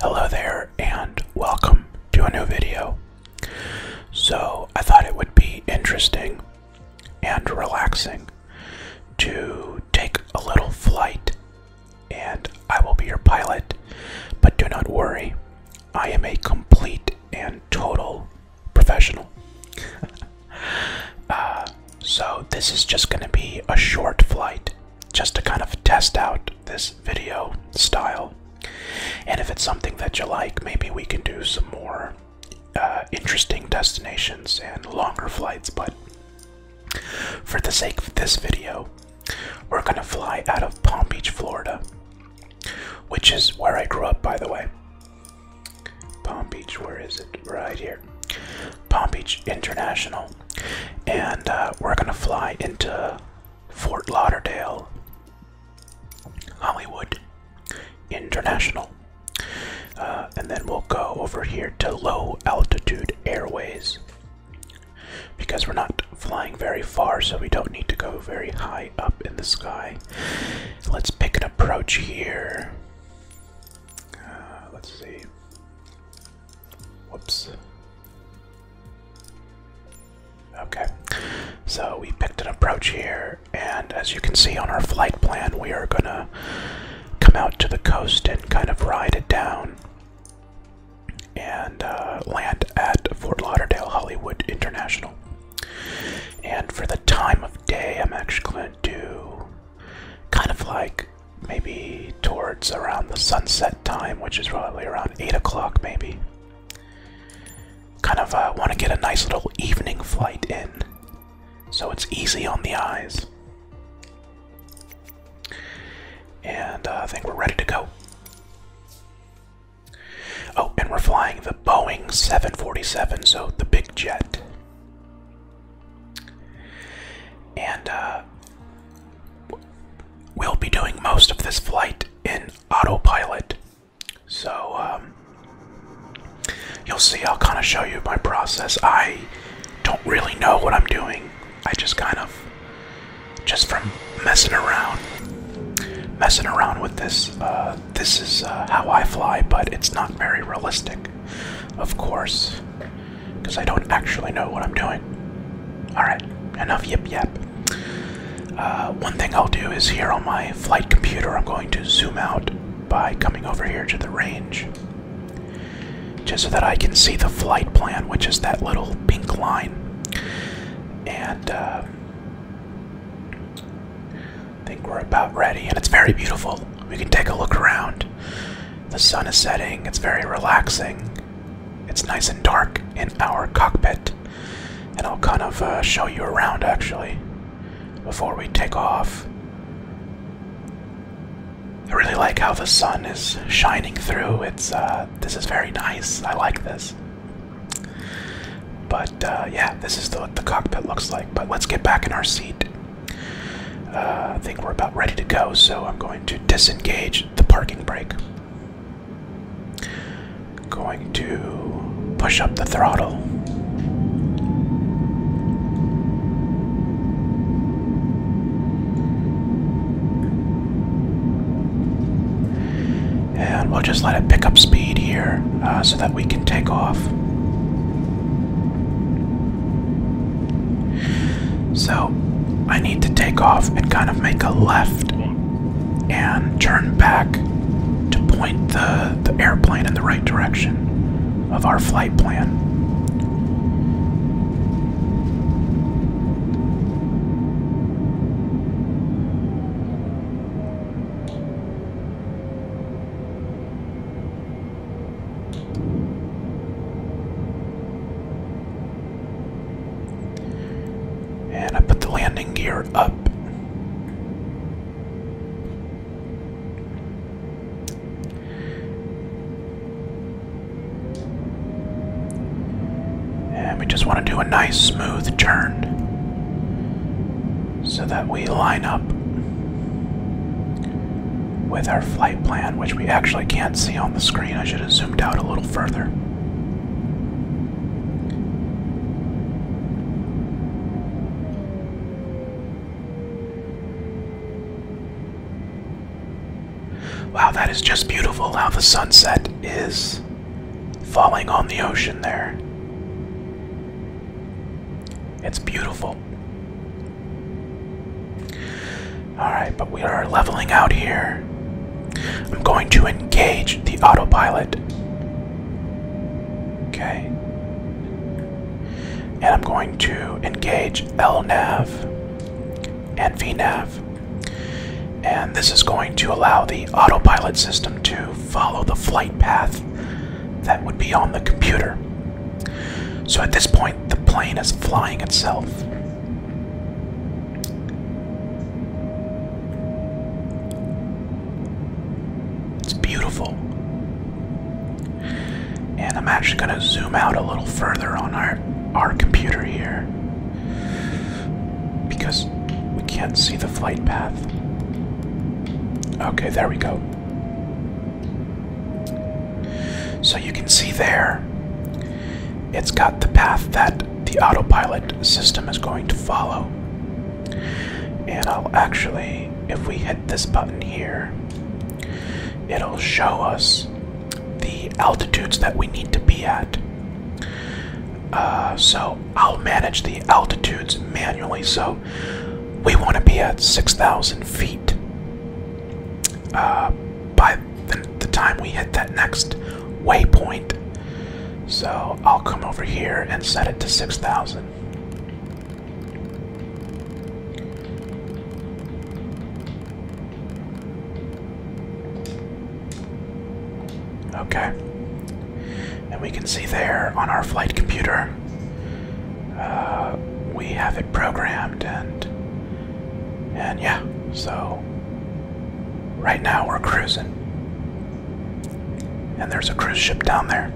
Hello there and welcome to a new video. So, I thought it would be interesting and relaxing to take a little flight, and I will be your pilot. But do not worry, I am a complete and total professional. Uh, so, this is just going to be a short flight just to kind of test out this video style. And if it's something that you like, maybe we can do some more uh, interesting destinations and longer flights. But for the sake of this video, we're going to fly out of Palm Beach, Florida, which is where I grew up, by the way. Palm Beach, where is it? Right here. Palm Beach International and uh, we're gonna fly into Fort Lauderdale, Hollywood International, uh, and then we'll go over here to low altitude airways because we're not flying very far, so we don't need to go very high up in the sky. Let's pick an approach here. Uh, let's see. Whoops. Okay, so we picked an approach here, and as you can see on our flight plan, we are gonna come out to the coast and kind of ride it down and uh, land at Fort Lauderdale Hollywood International. And for the time of day, I'm actually gonna do kind of like maybe towards around the sunset time, which is probably around 8 o'clock, maybe. Kind of uh, want to get a nice little evening flight in so it's easy on the eyes. And uh, I think we're ready to go. Oh, and we're flying the Boeing 747, so the big jet. And uh, we'll be doing most of this flight in autopilot. So um, you'll see, I'll kind of show you my process. I don't really know what I'm doing. I just kind of, just from messing around, messing around with this, uh, this is uh, how I fly, but it's not very realistic, of course because I don't actually know what I'm doing. Alright, enough yip yip. Uh, one thing I'll do is here on my flight computer, I'm going to zoom out by coming over here to the range. Just so that I can see the flight plan, which is that little pink line. And uh, I think we're about ready, and it's very beautiful. We can take a look around. The sun is setting, it's very relaxing. It's nice and dark in our cockpit. And I'll kind of uh, show you around actually before we take off. I really like how the sun is shining through. It's uh, this is very nice. I like this. But uh, yeah, this is what the cockpit looks like. But let's get back in our seat. Uh, I think we're about ready to go, so I'm going to disengage the parking brake. Going to push up the throttle. And we'll just let it pick up speed here uh, so that we can take off. So I need to take off and kind of make a left and turn back to point the, the airplane in the right direction of our flight plan. And I put the landing gear up. And we just want to do a nice smooth turn so that we line up with our flight plan, which we actually can't see on the screen. I should have zoomed out a little further. Wow, that is just beautiful how the sunset is falling on the ocean there. It's beautiful. Alright, but we are leveling out here. I'm going to engage the autopilot. Okay. And I'm going to engage LNAV and VNAV. And this is going to allow the autopilot system to follow the flight path that would be on the computer. So at this point, the plane is flying itself. It's beautiful. And I'm actually going to zoom out a little further on our our computer here because we can't see the flight path. Okay, there we go. So you can see there, it's got the path that the autopilot system is going to follow. And I'll actually, if we hit this button here, it'll show us the altitudes that we need to be at. Uh, so I'll manage the altitudes manually. So we want to be at 6,000 feet uh, by the, the time we hit that next waypoint, so I'll come over here and set it to 6,000. Okay, and we can see there on our flight computer uh, we have it programmed and and yeah, so right now we're cruising. And there's a cruise ship down there.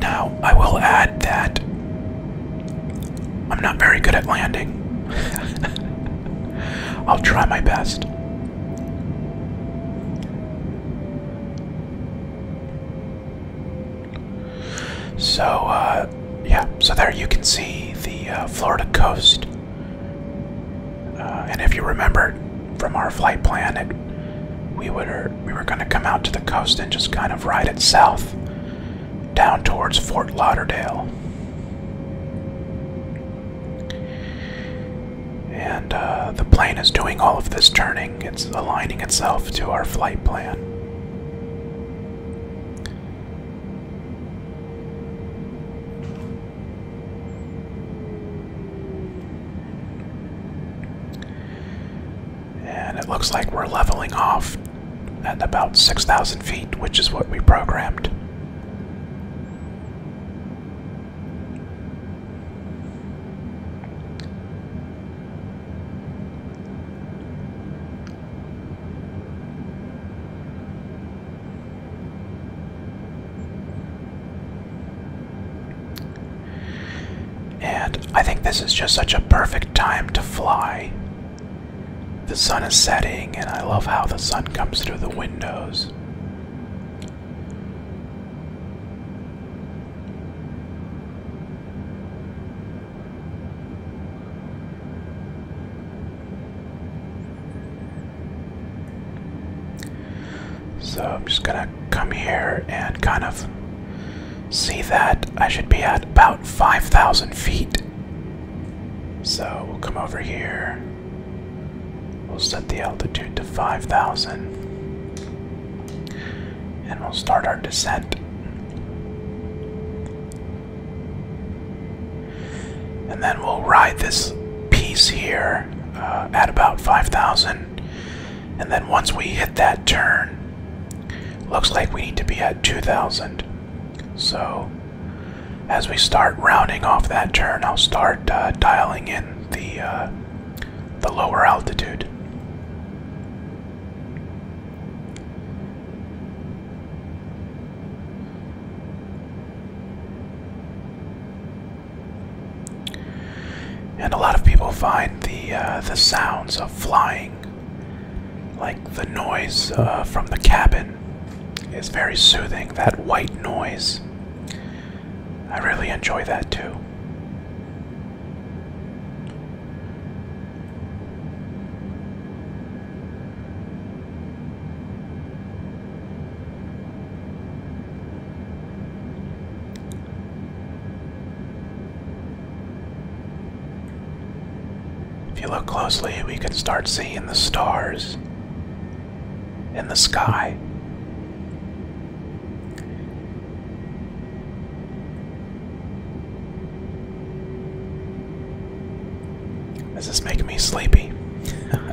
Now, I will add that I'm not very good at landing. I'll try my best. So, uh, yeah, so there you can see the uh, Florida coast. Uh, and if you remember from our flight plan, it, we, would, we were going to come out to the coast and just kind of ride it south down towards Fort Lauderdale. And uh, the plane is doing all of this turning, it's aligning itself to our flight plan. And it looks like we're leveling off at about 6,000 feet, which is what we programmed. And I think this is just such a perfect time to fly. The sun is setting, and I love how the sun comes through the windows. So I'm just gonna come here and kind of see that I should be at about 5,000 feet. So we'll come over here. We'll set the altitude to 5,000. And we'll start our descent. And then we'll ride this piece here uh, at about 5,000. And then once we hit that turn, Looks like we need to be at 2,000. So, as we start rounding off that turn, I'll start uh, dialing in the uh, the lower altitude. And a lot of people find the uh, the sounds of flying, like the noise uh, from the cabin, is very soothing. That white noise. I really enjoy that too. If you look closely, we can start seeing the stars in the sky. This is making me sleepy.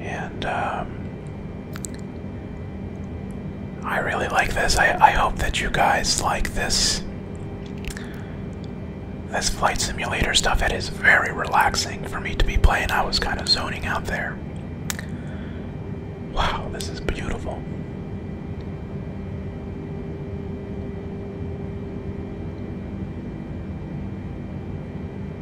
And um, I really like this. I, I hope that you guys like this. This flight simulator stuff, it is very relaxing for me to be playing. I was kind of zoning out there. Wow, this is beautiful.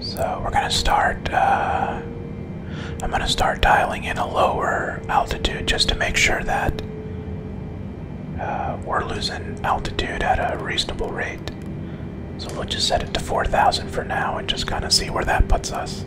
So we're gonna start. Uh, I'm gonna start dialing in a lower altitude just to make sure that uh, we're losing altitude at a reasonable rate. So we'll just set it to 4,000 for now and just kind of see where that puts us.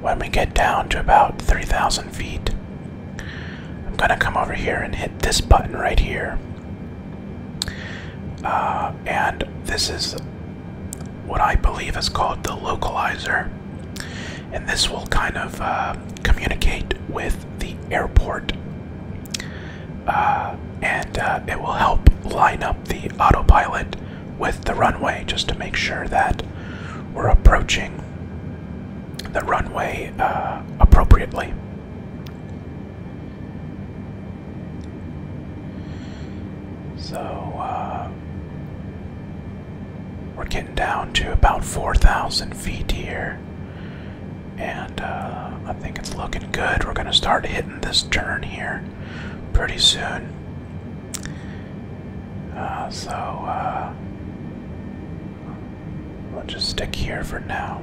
when we get down to about 3,000 feet, I'm gonna come over here and hit this button right here. Uh, and this is what I believe is called the localizer. And this will kind of uh, communicate with the airport. Uh, and it will help line up the autopilot with the runway just to make sure that we're approaching the runway uh, appropriately. So uh, we're getting down to about 4,000 feet here, and uh, I think it's looking good. We're going to start hitting this turn here pretty soon. Uh, so, we'll uh, just stick here for now.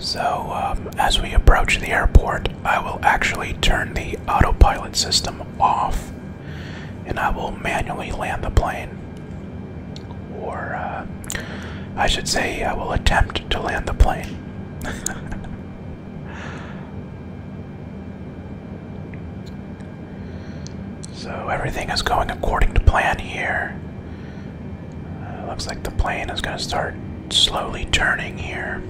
So, um, as we approach the airport, I will actually turn the autopilot system off, and I will manually land the plane. Or, uh, I should say, I will attempt to land the plane. so, everything is going according to plan here. Uh, looks like the plane is going to start slowly turning here.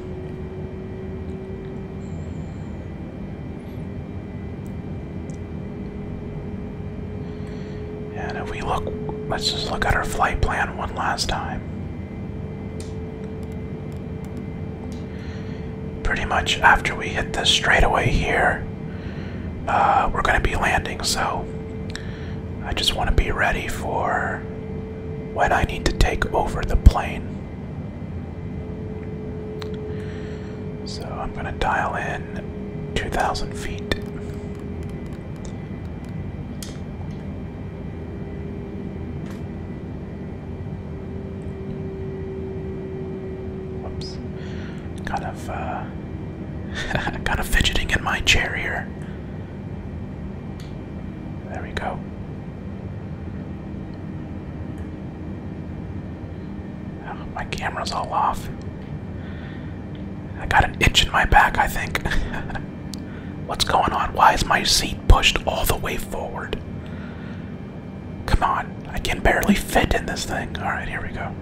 And if we look, let's just look at our flight plan one last time. Pretty much after we hit this straightaway here, uh, we're going to be landing, so I just want to be ready for when I need to take over the plane. So I'm going to dial in 2,000 feet. Whoops. Kind of, uh, kind of fidgeting in my chair here. There we go my camera's all off. I got an itch in my back, I think. What's going on? Why is my seat pushed all the way forward? Come on, I can barely fit in this thing. Alright, here we go.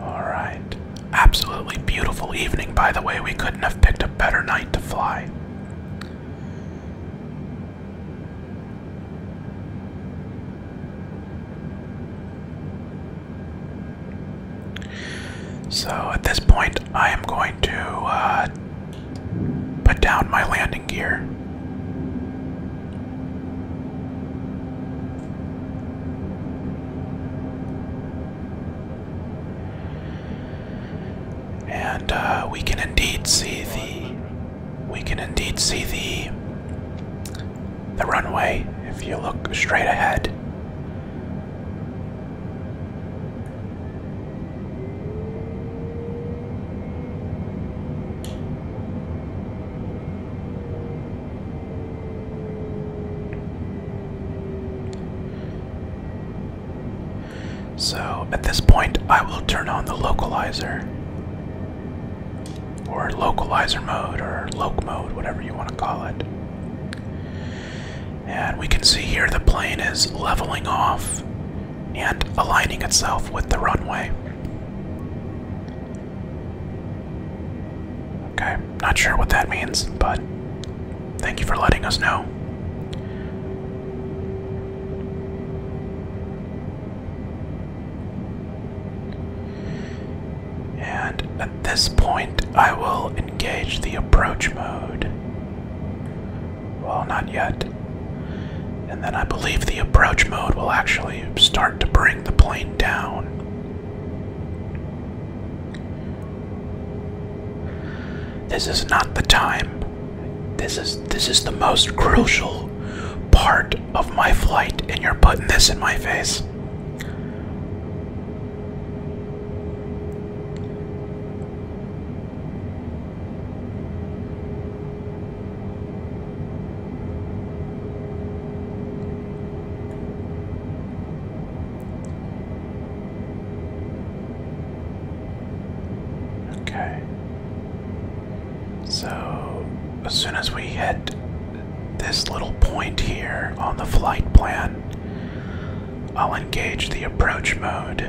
All right. Absolutely beautiful evening, by the way. We couldn't have picked a better night to fly. So at this point, I am going to uh, Put down my landing gear. And uh, we can indeed see the we can indeed see the the runway if you look straight ahead. So at this point, I will turn on the localizer or localizer mode or loc mode, whatever you want to call it. And we can see here the plane is leveling off and aligning itself with the runway. Okay, not sure what that means, but thank you for letting us know. And at this point, I will engage the approach mode. Well, not yet. And then I believe the approach mode will actually start to bring the plane down. This is not the time. This is this is the most crucial part of my flight and you're putting this in my face. Okay. So, as soon as we hit this little point here on the flight plan, I'll engage the approach mode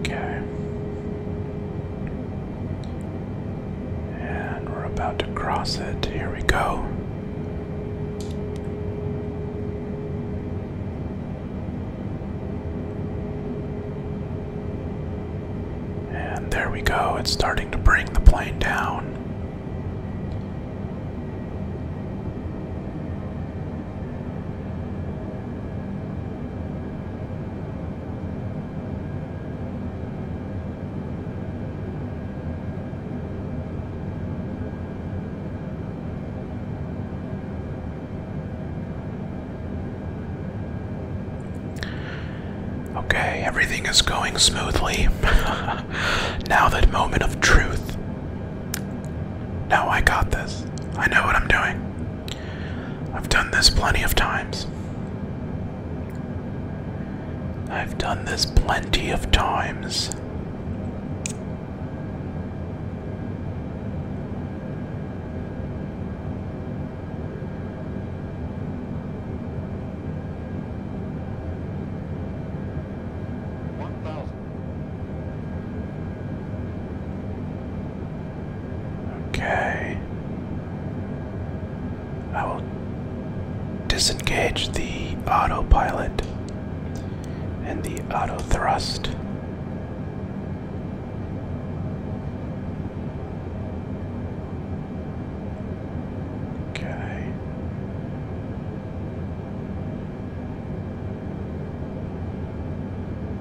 Okay. And we're about to cross it. Here we go. And there we go. It's starting to bring the plane down. Okay, everything is going smoothly. now, that moment of truth. Now I got this. I know what I'm doing. I've done this plenty of times. I've done this plenty of times. Okay. I will disengage the autopilot and the auto thrust. Okay.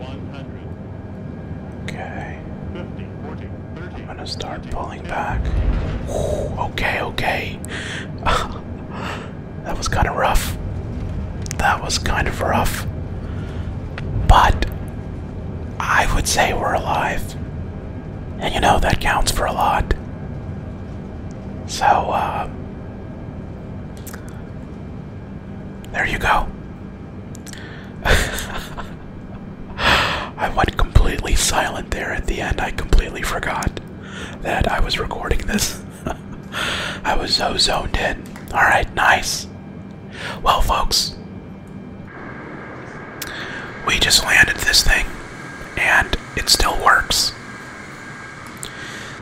Okay. 50, 40, 30, I'm gonna start pulling back. okay, okay. that was kind of rough. That was kind of rough. But I would say we're alive. And you know, that counts for a lot. So, uh, there you go. I went completely silent there at the end. I completely forgot that I was recording this. I was so zoned in. Alright, nice. Well, folks, we just landed this thing and it still works.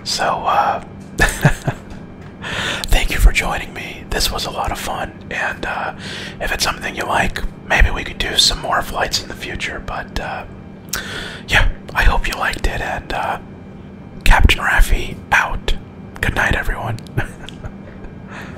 So, uh, thank you for joining me. This was a lot of fun, and uh, if it's something you like, maybe we could do some more flights in the future. But uh, yeah, I hope you liked it, and uh, Captain Rafi, out. Good night, everyone.